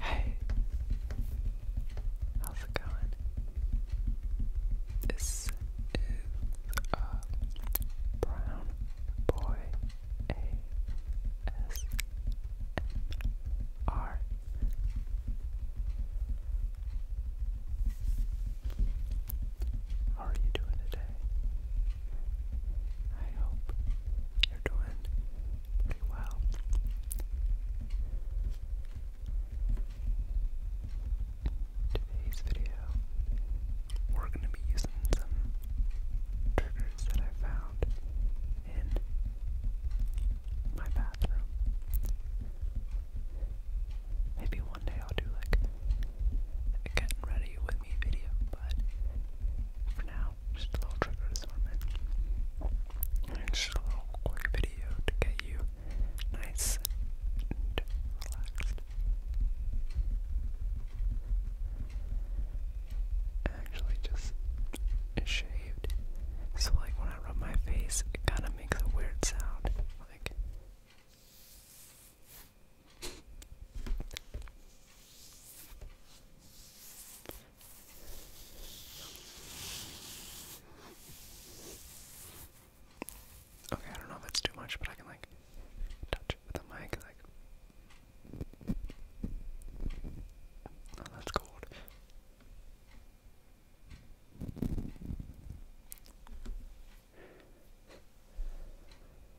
Hey, how's it going? This is a brown boy ASMR. How are you doing today? I hope you're doing pretty well. Today's video, we're going to be using some triggers that I found in my bathroom. Maybe one day I'll do like getting ready with me video, but for now. Just a little trigger assortment. And just a little quick video to get you nice and relaxed. Actually, just shaved. So, like, when I rub my face, it kind of makes a weird sound. Like. Okay, I don't know if that's too much, but I can like touch it mic, like. Oh, that's cold.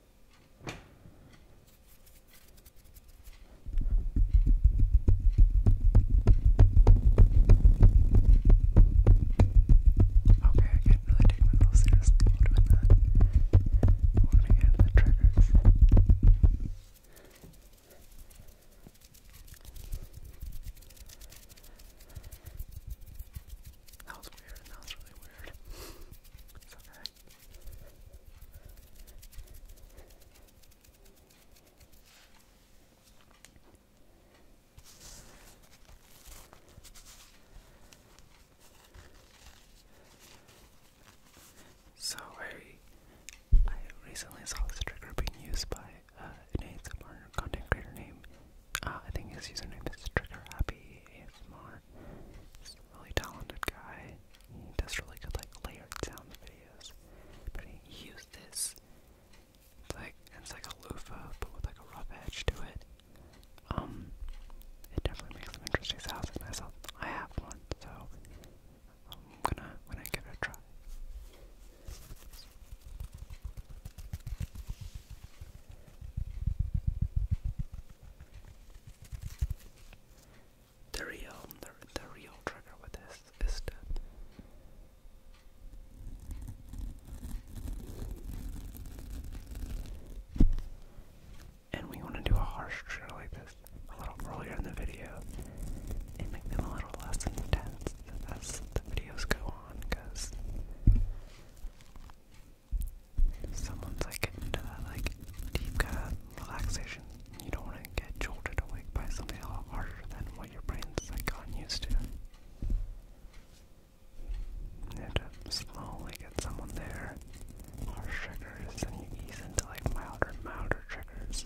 Okay, I can't really take myself seriously doing that. I want triggers. That was weird. That was really weird. So I, recently saw this trigger being used by uh, an ASMR content creator name. Uh, I think his username is Trigger Happy Moore. He's a really talented guy. He does really good like layered sound videos. But he used this. It's like it's like a loofah, but with like a rough edge to it. Um, it definitely makes some interesting sounds, and myself, I have one, so I'm gonna when I give it a try. The real, the, the real trigger with this is to and we want to do a harsh trigger like this a little earlier in the video and make them a little less intense as the videos go on because someone's like into that like deep kind of relaxation. You don't want to get jolted awake by something a lot harder than what your brain's like gotten used to. You have to slowly get someone there. or triggers, and you ease into like milder, milder triggers.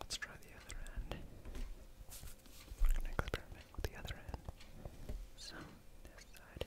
Let's try the other end. We're going to experiment with the other end. So, this side.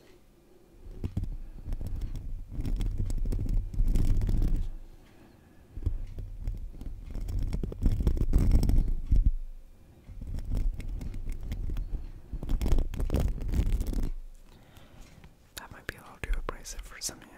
That might be a little too abrasive for some you.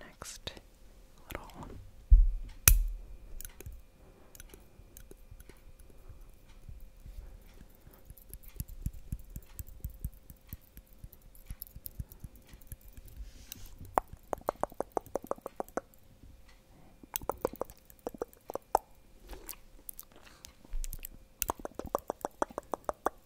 next little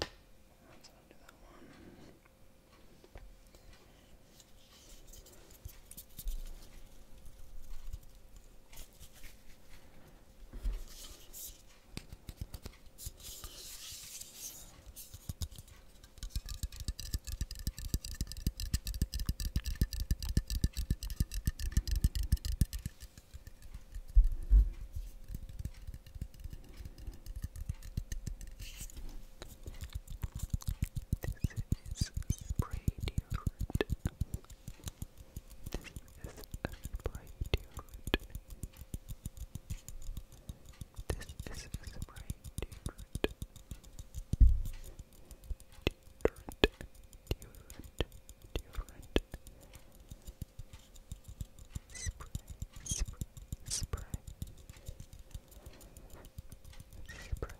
Let's undo that one. Okay. This is spray deodorant. This is a spray deodorant. This is a spray deodorant. Deodorant, deodorant, deodorant. Spray, spray, spray. Spray,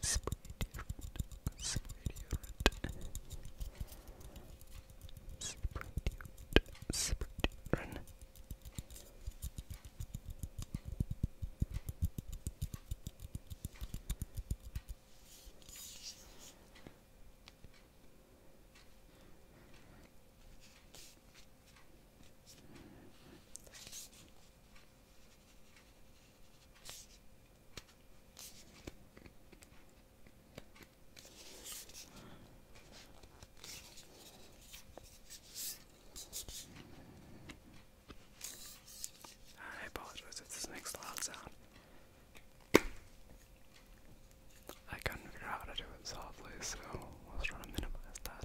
spray, spray. Spray deodorant, spray deodorant. Spray deodorant, spray deodorant. I apologize if this makes loud sound. I can not figure out how to do it softly, so I was try to minimize that.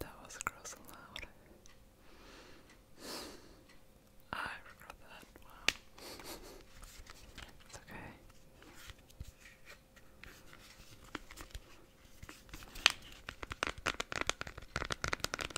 That was gross and loud. I regret that. Wow. It's okay.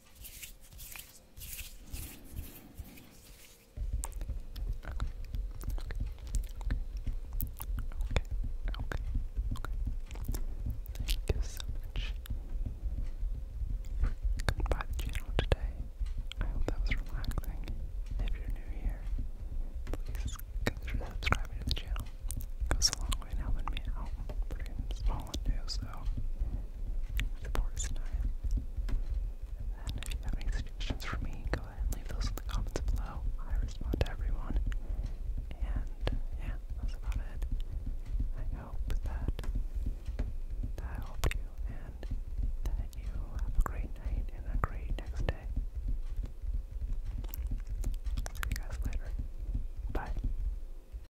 okay, thank you so much for channel today. I hope that was relaxing. If you're new here, please consider subscribing to the channel. It goes quite helping me out. Pretty small and so support's nice. And if you have any suggestions for me, go ahead leave those in the comments below. I respond to everyone. And yeah, that's about it. I hope that that helped you and that you have a great night and a great next day. See you guys later. Bye.